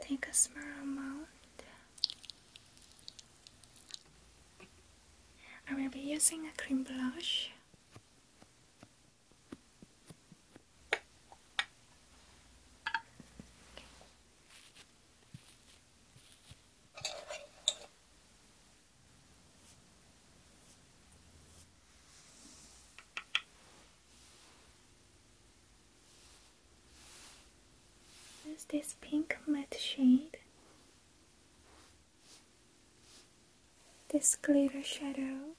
take a small amount. I will be using a cream blush. There's this pink matte shade, this glitter shadow.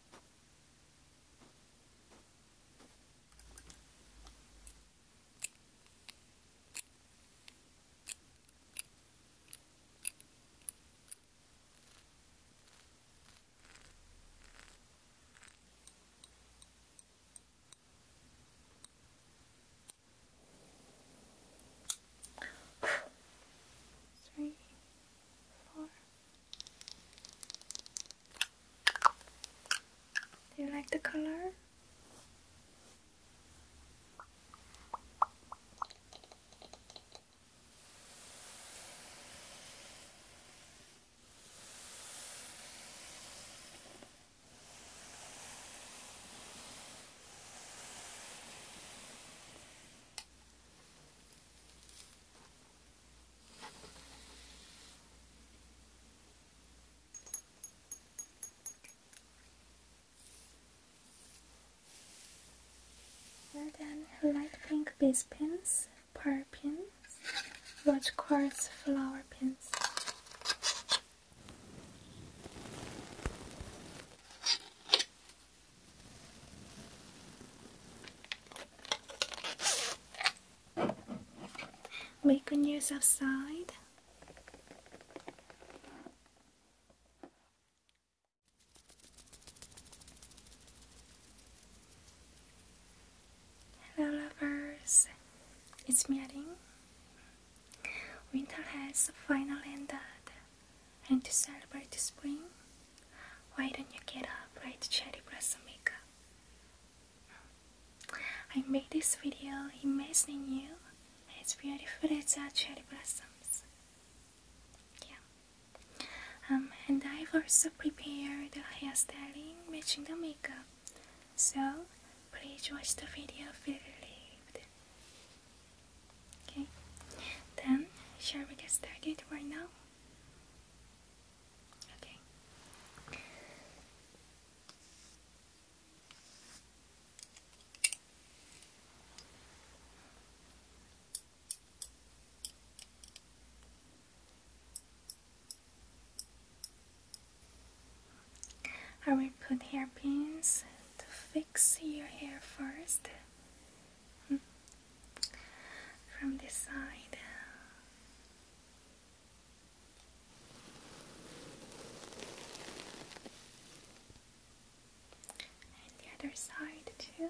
Three, four. Do you like the color? And then light pink base pins, power pin watch quartz flower pins. We news use outside. Hello lovers, it's Miarin. Winter has finally ended, and to celebrate the spring, why don't you get a bright cherry blossom makeup? I made this video imagining you It's beautiful as a cherry blossoms. Yeah. Um, and I've also prepared a hairstyling matching the makeup. So please watch the video relieved. Okay, then shall we get started right now? Okay. I will put hairpins to fix your hair first hmm. from this side. And the other side too.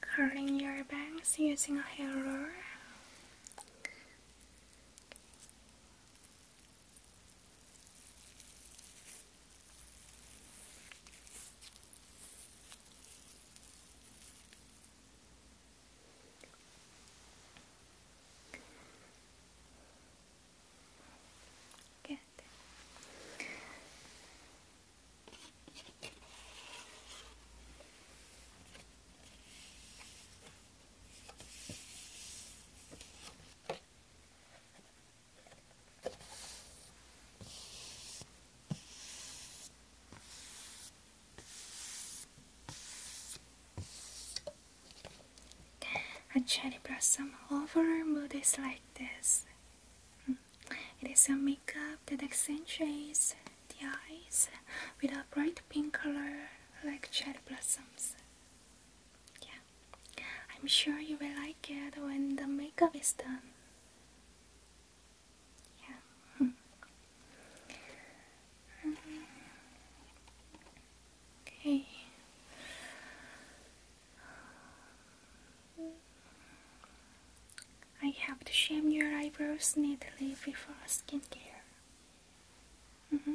curling your bangs using a hair roller. Good. A cherry blossom over mood is like this. Hmm. It is a makeup that accentuates the eyes with a bright pink color like cherry blossoms. Yeah, I'm sure you will like it when the makeup is done. Yeah. okay. I have to shave your eyebrows neatly before skincare. Mm-hmm.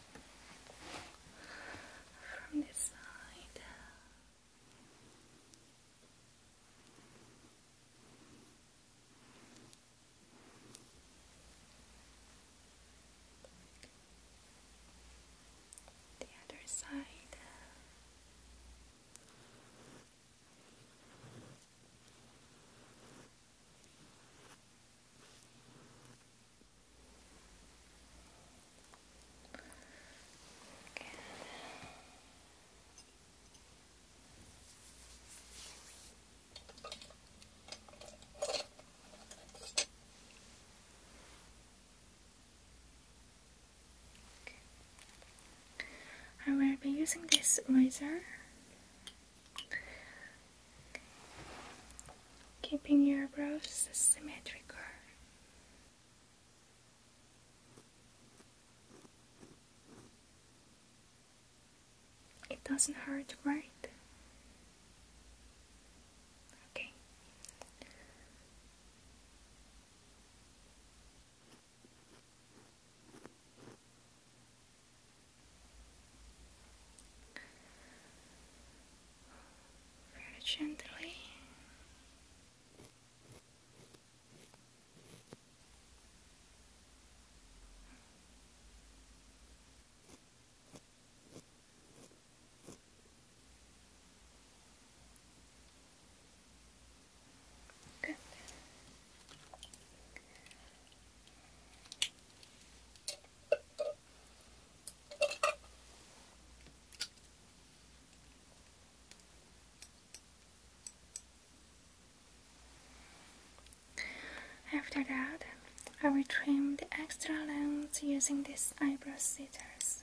from this side. The other side. Okay. I will be using this razor keeping your brows symmetrical. It doesn't hurt, right? very gently. Good. After that, I will trim the extra length using these eyebrow scissors.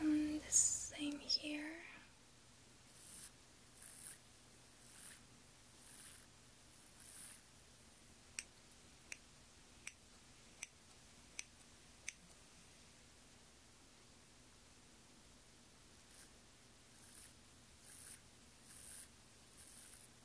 Um, same here.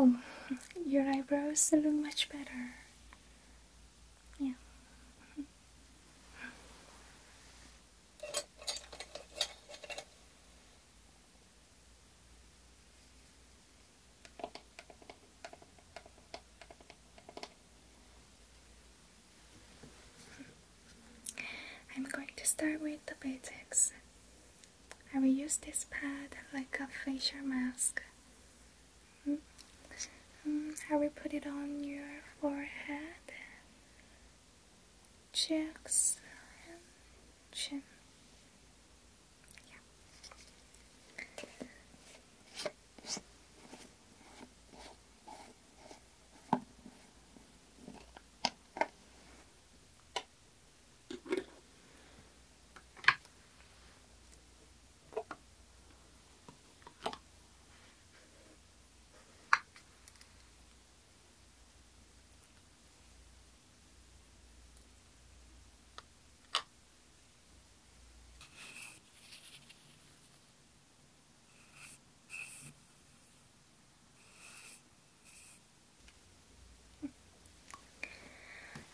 Oh, your eyebrows look much better. Yeah. I'm going to start with the basics. I will use this pad like a facial mask. Mm. Mm, I will put it on your forehead Jackson. Yeah.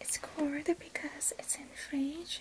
It's cold because it's in fridge.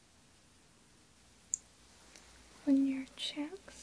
When your cheeks.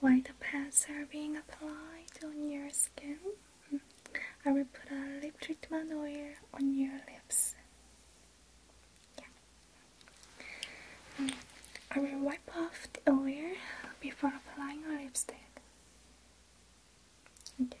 While the pads are being applied on your skin, I will put a lip treatment oil on your lips. Yeah. I will wipe off the oil before applying a lipstick. Okay.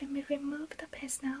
Let me remove the paste now.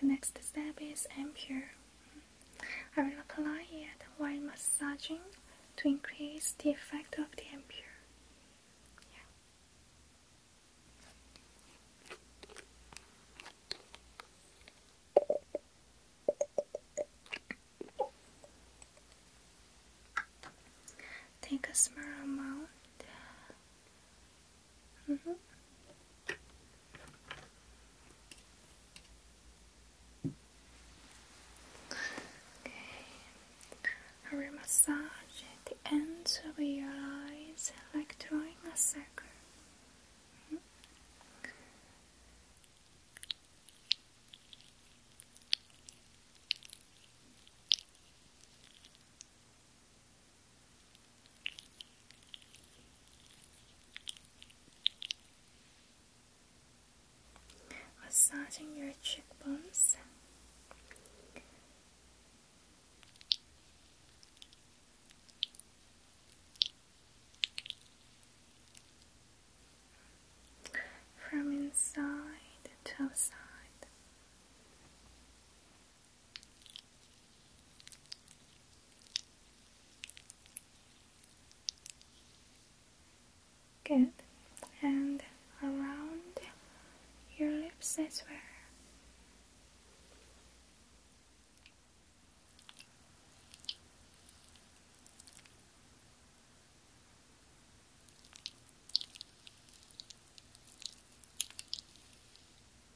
The next step is ampere. I will apply it while massaging to increase the effect of the ampere. Take a small amount Mm-hmm. Okay, I will massage the ends of your eyes like drawing a circle. Massaging your cheekbones. From inside to outside. Good. And around your lips as well.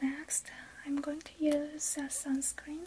Next, I'm going to use a sunscreen.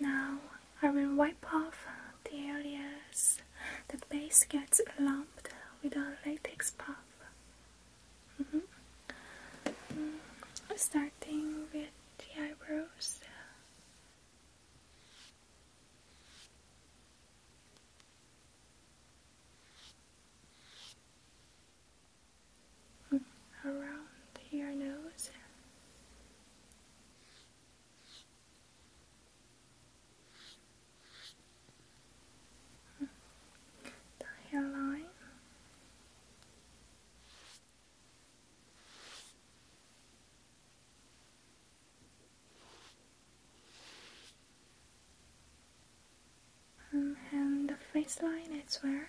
Now I will wipe off the areas the base gets lumped with a latex puff. Mm -hmm. starting with the eyebrows. Mm, around your nose the hairline. Um, and the face line as where.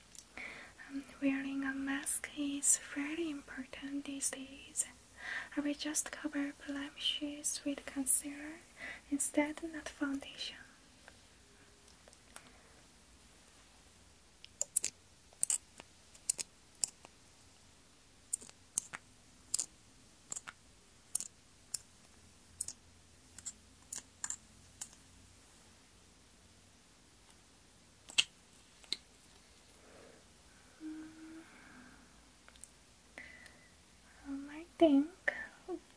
Um, wearing a mask is very important these days. I will just cover blemishes with concealer instead, of foundation. Um, I think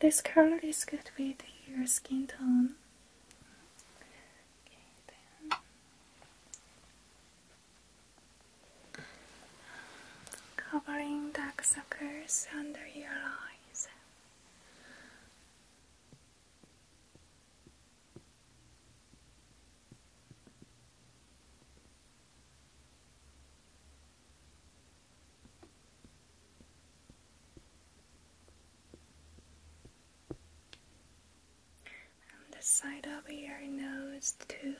this color is good with your skin tone. Covering dark circles under your eyes. And the side of your nose too.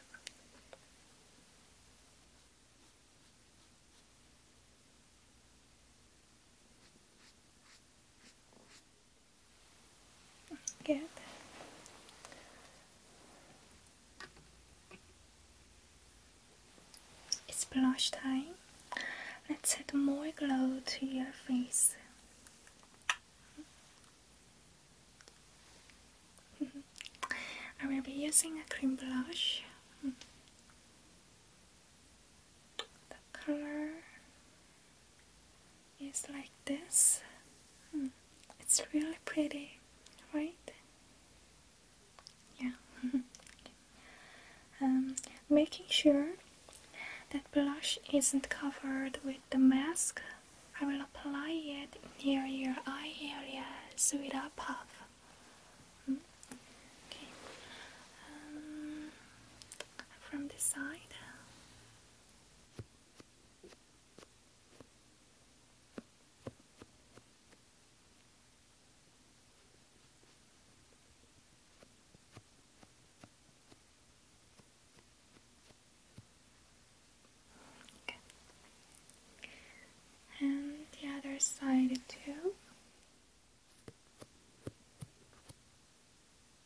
Good. It's blush time. Let's add more glow to your face. I will be using a cream blush. The color is like this. Hmm. It's really pretty, right? Yeah. Um, making sure that blush isn't covered with the mask, I will apply it near your eye area areas without puff. Hmm. Okay. Um, from this side. And the other side too.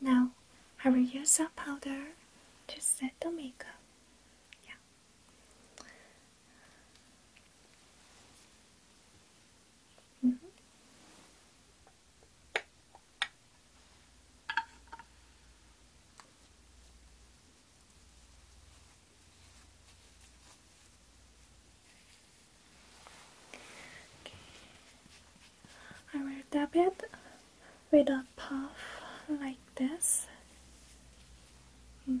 Now I will use some powder to set the makeup. Yeah. Mm-hmm. I will dab it with a puff like this. Mm.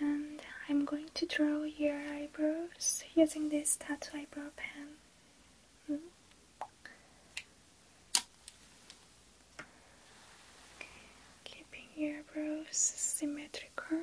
And I'm going to draw your eyebrows using this tattoo eyebrow pen. Hmm. Keeping your brows symmetrical.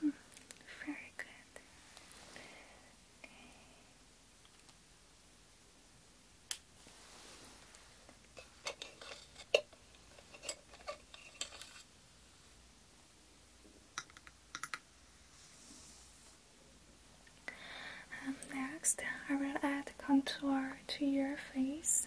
Hmm, very good. Okay. Um, next, I will add contour to your face.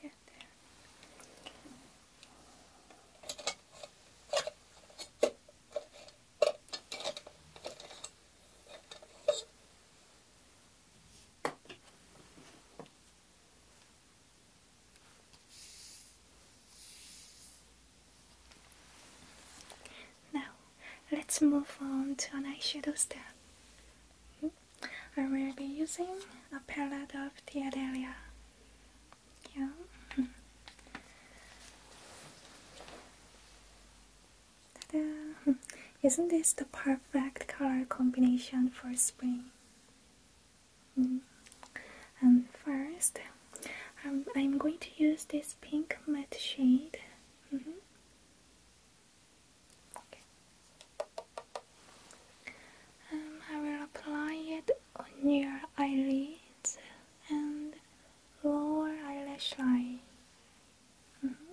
Get there. Now let's move on to an eyeshadow step. I will be using a palette of the Adelia. Yeah. Isn't this the perfect color combination for spring? Hmm. And first, um, I'm going to use this pink matte shade. Mm-hmm. Um, I will apply it on your eyelids and lower eyelash line. Mm-hmm.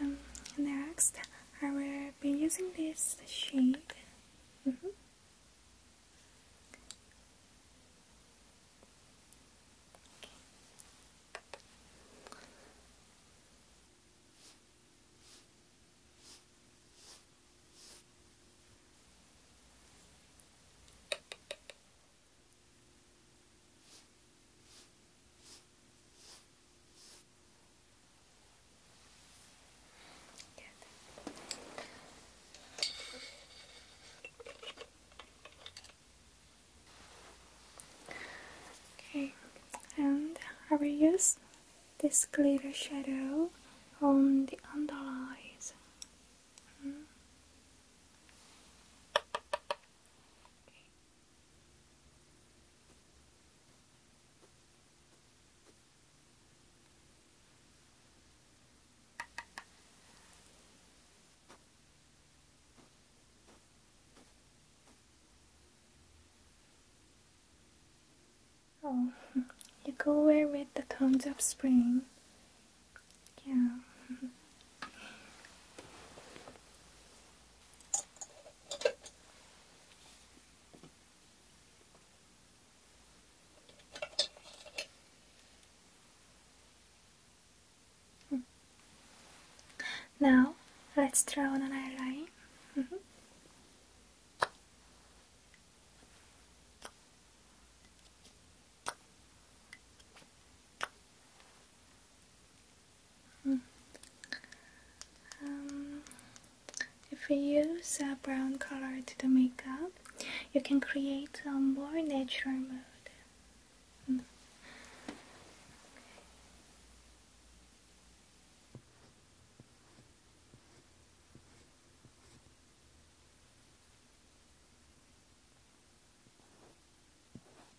Um, next, I will be using this shade. Mm-hmm. Okay, and I will use this glitter shadow on the under eyes. Mm-hmm. Oh, you go where with the cones of spring. Yeah. Now let's draw on an eyeliner. Mm mm-hmm. Hmm. Um, if you use a brown color to the makeup, you can create a more natural mood. Hmm.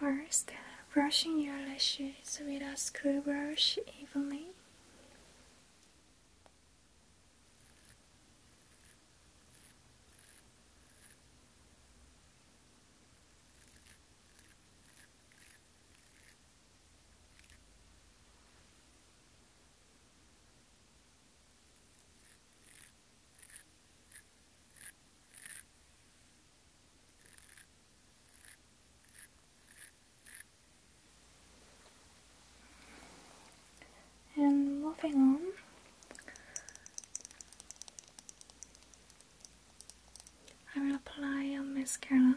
First, brushing your lashes with a screw brush evenly. And moving on, I will apply a mascara.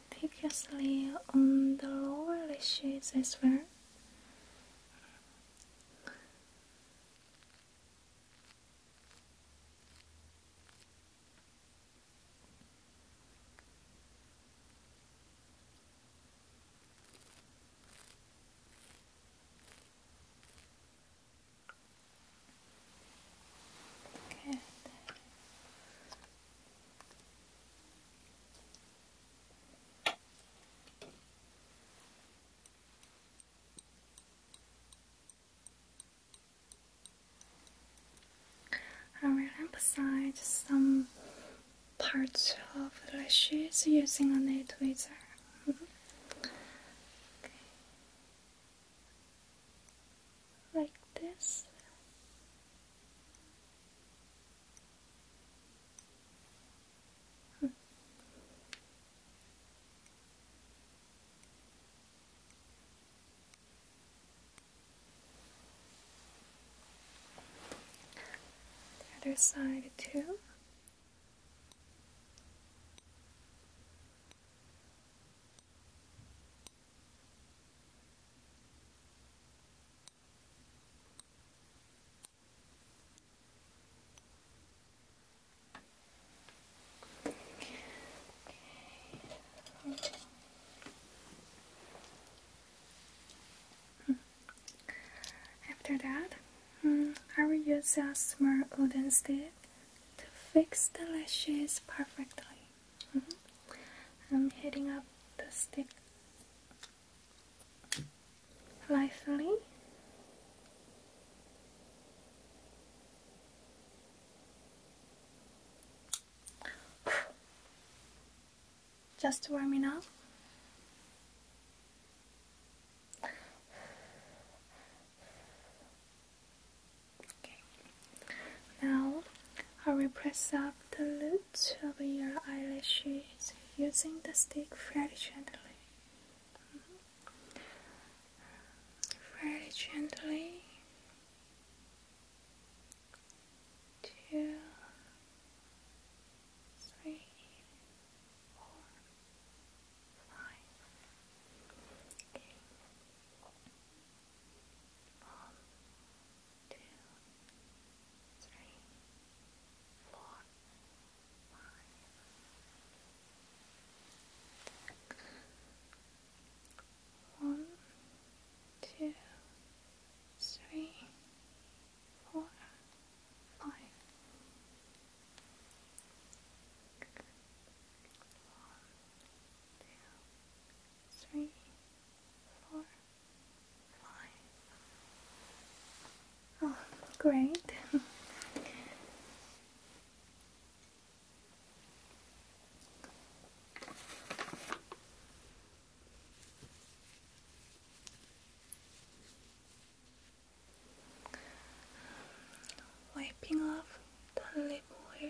meticulously on the lower lashes as well. Good. I will emphasize some parts of the lashes using a nail tweezer. Like this. The other side too. After that, hmm, I will use a small wooden stick to fix the lashes perfectly. Mm-hmm. I'm heading up the stick lively. Just to warm it up. Okay. Now I will press up the loop. To your eyelashes using the stick very gently. Mm-hmm. Very gently two, three, four, five two, three, four, five. One, two, three, four, five. One, two, three, four, Oh, great. Wiping off the lip oil.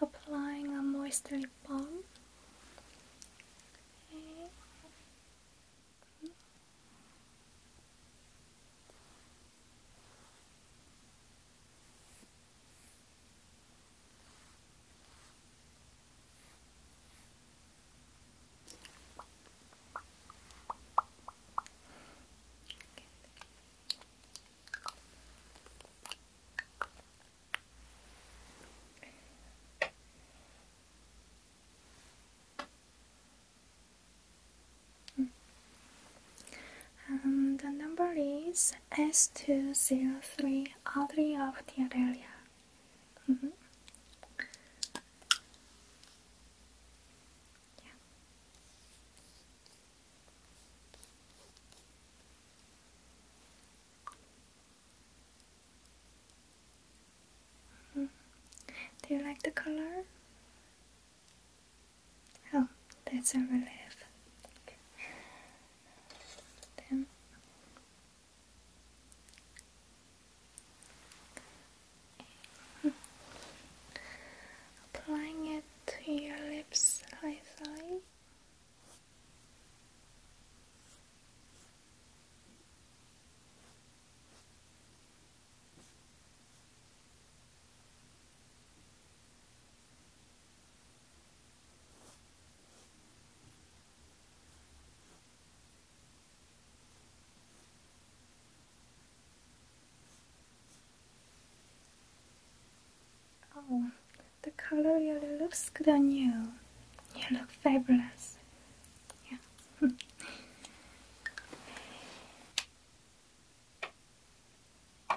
Applying a moisturizing balm. Um, the number is S two zero three, Audrey of Theodelia. Mm -hmm. Do you like the color? Oh, that's a relief. Okay. Then Applying it to your lips I lazily. Oh, the color really looks good on you. You look fabulous. Yeah.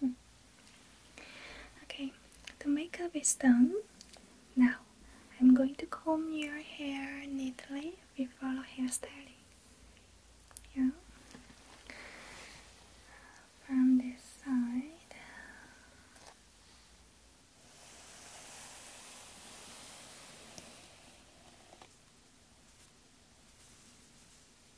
Hmm. Okay, the makeup is done. Now I'm going to comb your hair neatly before hairstyling. Yeah. From this side.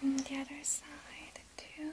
And the other side too.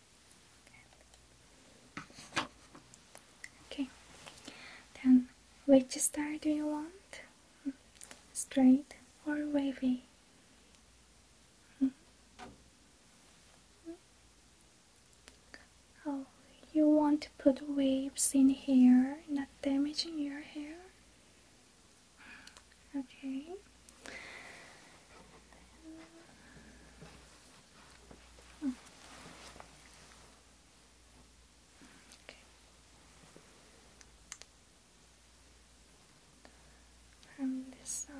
Okay. Then, which style do you want? Straight or wavy? Mm-hmm. Oh, you want to put waves in here, not damaging your hair? Okay. From this side.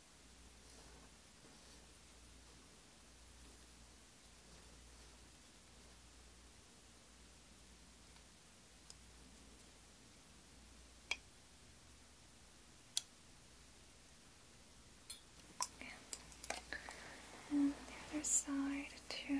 And the other side too.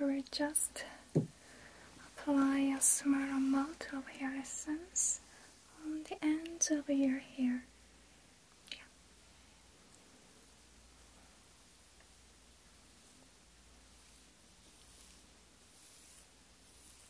We just apply a small amount of hair essence on the ends of your hair.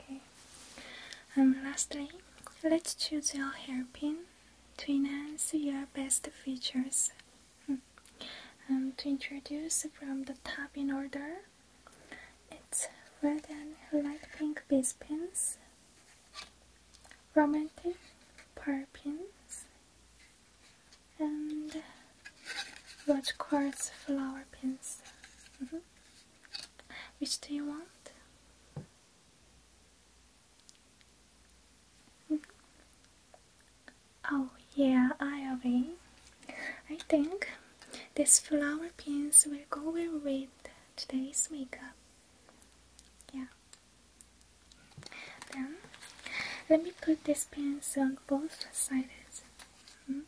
Okay. And um, lastly, let's choose your hairpin to enhance your best features. And hmm. um, to introduce from the top in order, it's red and light pink base pins, romantic pearl pins, and rose quartz flower pins. Mm-hmm. Which do you want? Mm-hmm. Oh yeah, I'll be. I think these flower pins will go well with today's makeup. Yeah. Then let me put this pencil on both sides. Hmm?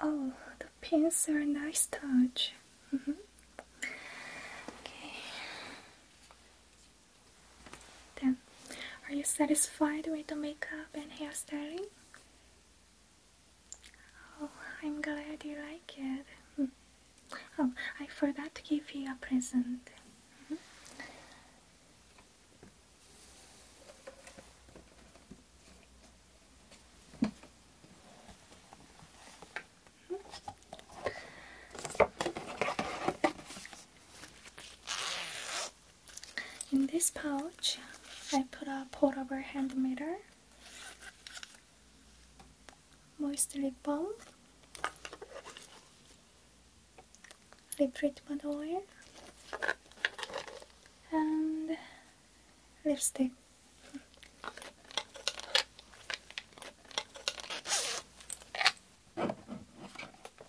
Oh, the pins are a nice touch. Mm-hmm. Okay. Then are you satisfied with the makeup and hairstyling? Oh, I'm glad you like it. Hmm. Oh, I forgot to give you a present. In this pouch, I put a portable hand mirror, moist lip balm, lip treatment oil, and lipstick.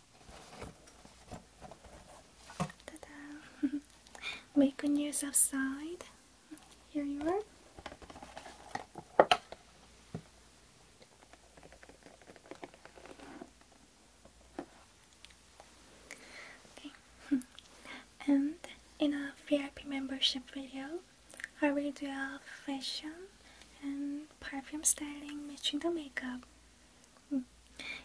Make da we outside. Here you are. Okay. and in a VIP membership video, I will do a fashion and perfume styling matching the makeup.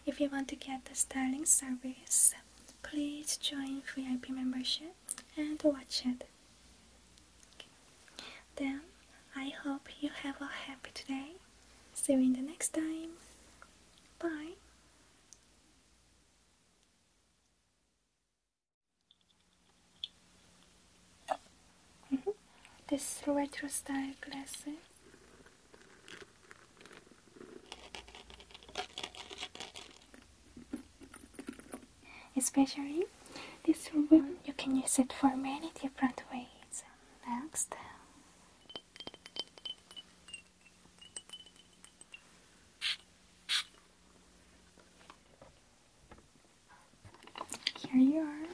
If you want to get the styling service, please join free IP membership and watch it. Then I hope you have a happy today. See you in the next time. Bye. Mm-hmm this retro style glasses. Especially this one, you can use it for many different ways. Next. Here you are.